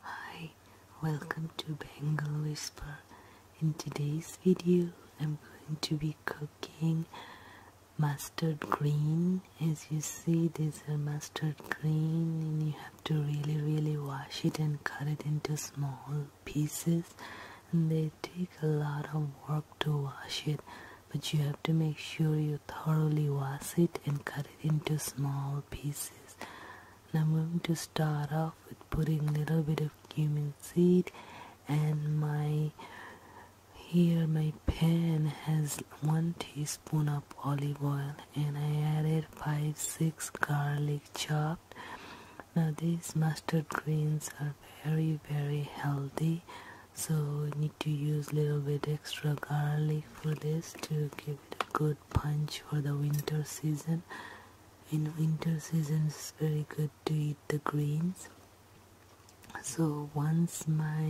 Hi, welcome to Bengal Whisper. In today's video, I'm going to be cooking mustard green. As you see, this is mustard green and you have to really really wash it and cut it into small pieces and they take a lot of work to wash it but you have to make sure you thoroughly wash it and cut it into small pieces I'm going to start off with putting a little bit of cumin seed and my here my pan has one teaspoon of olive oil and I added five six garlic chop now these mustard greens are very very healthy so you need to use a little bit extra garlic for this to give it a good punch for the winter season in winter season it's very good to eat the greens so once my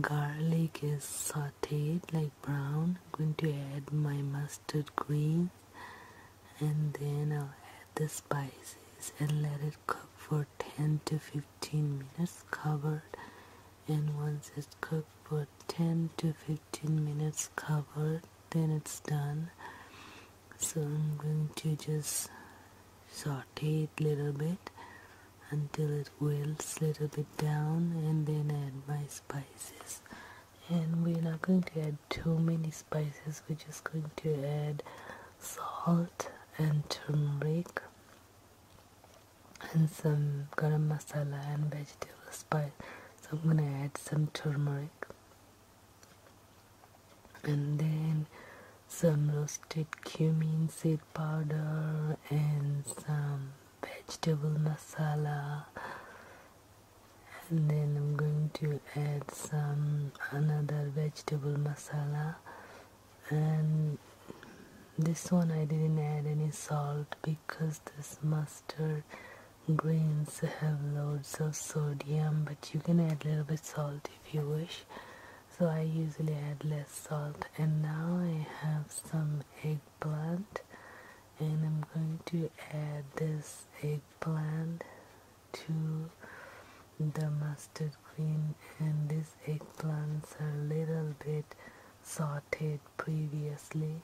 garlic is sauteed like brown i'm going to add my mustard mustard green and then I'll add the spices and let it cook for 10 to 15 minutes covered and once it's cooked for 10 to 15 minutes covered then it's done so I'm going to just saute it a little bit until it Will wheels a bit down and then add my spices and we're not going to add too many spices we're just going to add salt and turmeric and some garam masala and vegetable spice so I'm gonna add some turmeric and then some roasted cumin seed powder and some vegetable masala and then I'm going to add some another vegetable masala and this one I didn't add any salt because this mustard grains have loads of sodium but you can add a little bit salt if you wish so I usually add less salt and now I have some egg eggplant and I'm going to add this eggplant to the mustard green and these eggplants are a little bit sauteed previously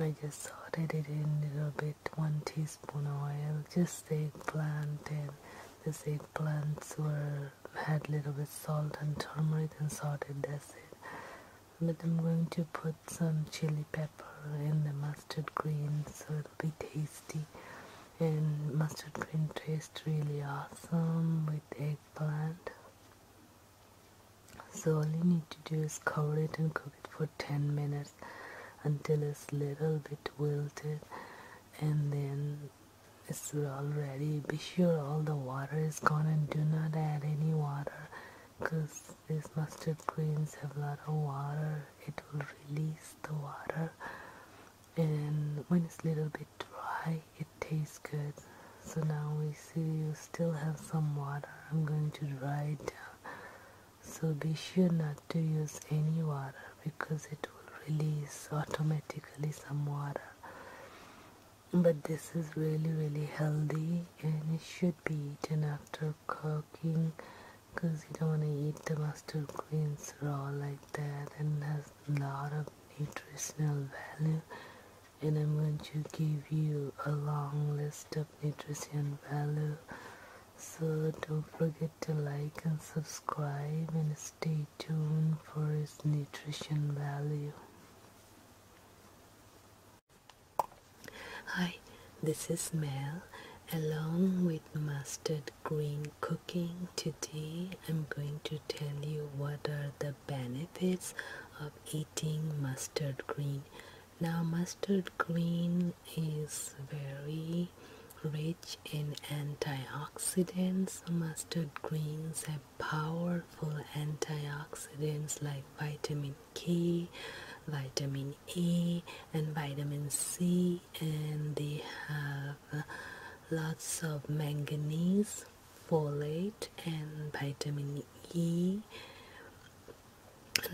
I just sauteed it in a little bit one teaspoon oil just eggplant and the eggplants were add little bit salt and turmeric and salted that's it but I'm going to put some chili pepper in the mustard greens, so it'll be tasty and mustard green tastes really awesome with eggplant so all you need to do is cover it and cook it for 10 minutes until it's little bit wilted and then is already be sure all the water is gone and do not add any water because these mustard greens have a lot of water it will release the water and when it's a little bit dry it tastes good so now we see you still have some water I'm going to dry it down so be sure not to use any water because it will release automatically some water but this is really really healthy and it should be eaten after cooking because you don't want to eat the mustard greens raw like that and has a lot of nutritional value and I'm going to give you a long list of nutrition value so don't forget to like and subscribe and stay stay for its nutrition value. Hi, this is Mel. Along with mustard green cooking, today I'm going to tell you what are the benefits of eating mustard green. Now, mustard green is very rich in antioxidants, mustard greens have powerful antioxidants like vitamin K, vitamin A, and vitamin C, and they have lots of manganese, folate, and vitamin E.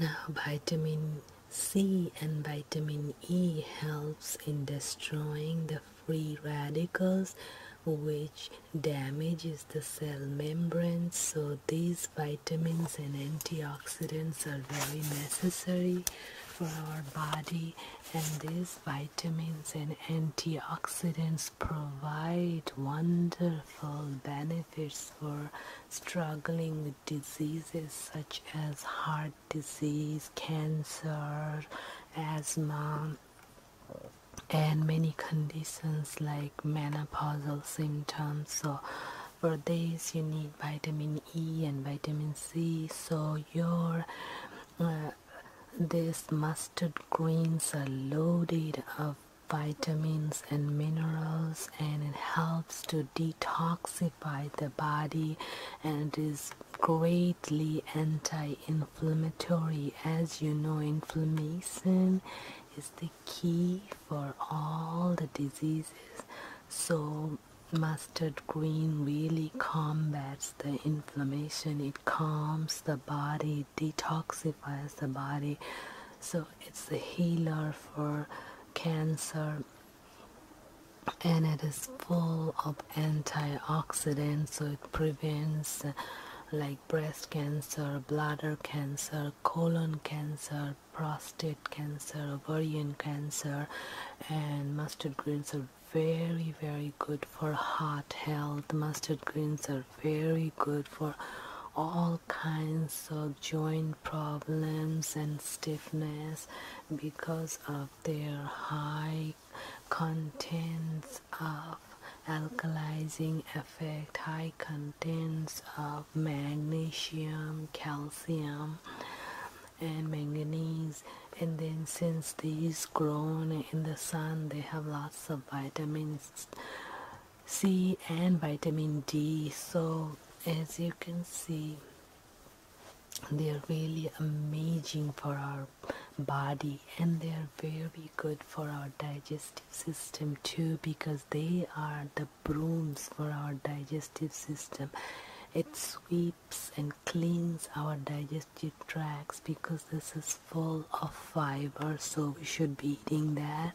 Now, vitamin C and vitamin E helps in destroying the free radicals which damages the cell membranes so these vitamins and antioxidants are very necessary for our body and these vitamins and antioxidants provide wonderful benefits for struggling with diseases such as heart disease, cancer, asthma, and many conditions like menopausal symptoms. So, for this, you need vitamin E and vitamin C. So, your uh, this mustard greens are loaded of vitamins and minerals and it helps to to detoxify the body and is greatly anti-inflammatory as you know inflammation is the key for all the diseases so mustard green really combats the inflammation it calms the body detoxifies the body so it's the healer for cancer and it is full of antioxidants so it prevents uh, like breast cancer bladder cancer colon cancer prostate cancer ovarian cancer and mustard greens are very very good for heart health mustard greens are very good for all kinds of joint problems and stiffness because of their high contents of alkalizing effect, high contents of magnesium, calcium, and manganese. And then, since these grown in the sun, they have lots of vitamins C and vitamin D. So, as you can see, they are really amazing for our body and they are very good for our digestive system too because they are the brooms for our digestive system it sweeps and cleans our digestive tracts because this is full of fiber so we should be that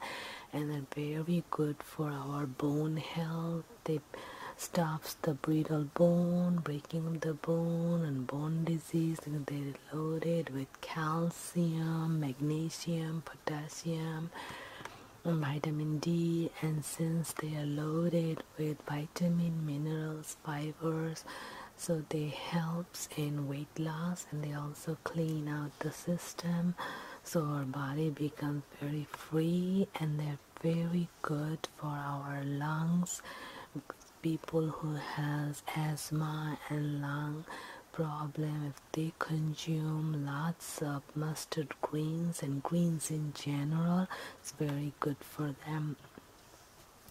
and they're very good for our bone health they stops the brittle bone breaking of the bone and bone disease they're loaded with calcium magnesium potassium vitamin d and since they are loaded with vitamin minerals fibers so they helps in weight loss and they also so clean out the system so our body becomes very free and they're very good for our lungs people who has asthma and lung problem if they consume lots of mustard greens and greens in general it's very good for them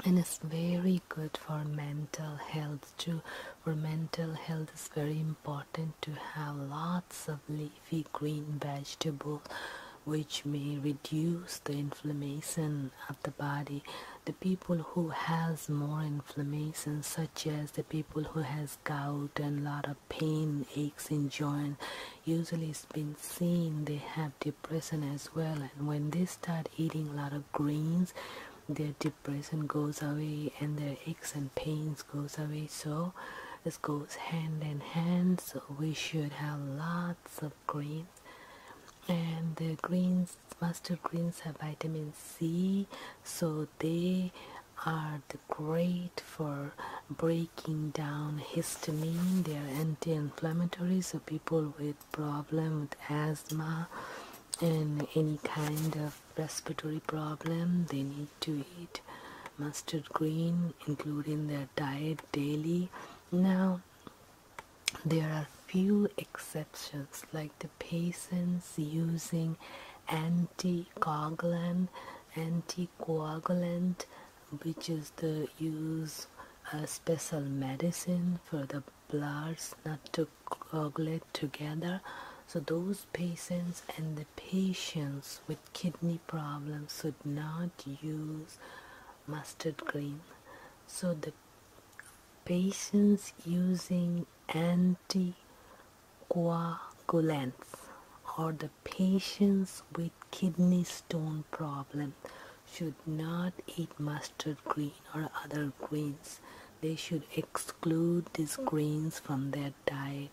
and it's very good for mental health too for mental health is very important to have lots of leafy green vegetables, which may reduce the inflammation of the body the people who has more inflammation such as the people who has gout and lot of pain aches in joint usually it's been seen they have depression as well and when they start eating a lot of greens their depression goes away and their aches and pains goes away so this goes hand in hand so we should have lots of greens and the greens mustard greens have vitamin c so they are great for breaking down histamine they are anti-inflammatory so people with problem with asthma and any kind of respiratory problem they need to eat mustard green including their diet daily now there are few exceptions like the patients using anticoagulant anticoagulant which is the use a uh, special medicine for the bloods not to coagulate together so those patients and the patients with kidney problems should not use mustard green so the patients using anticoagulants or the patients with kidney stone problem should not eat mustard green or other greens. They should exclude these greens from their diet.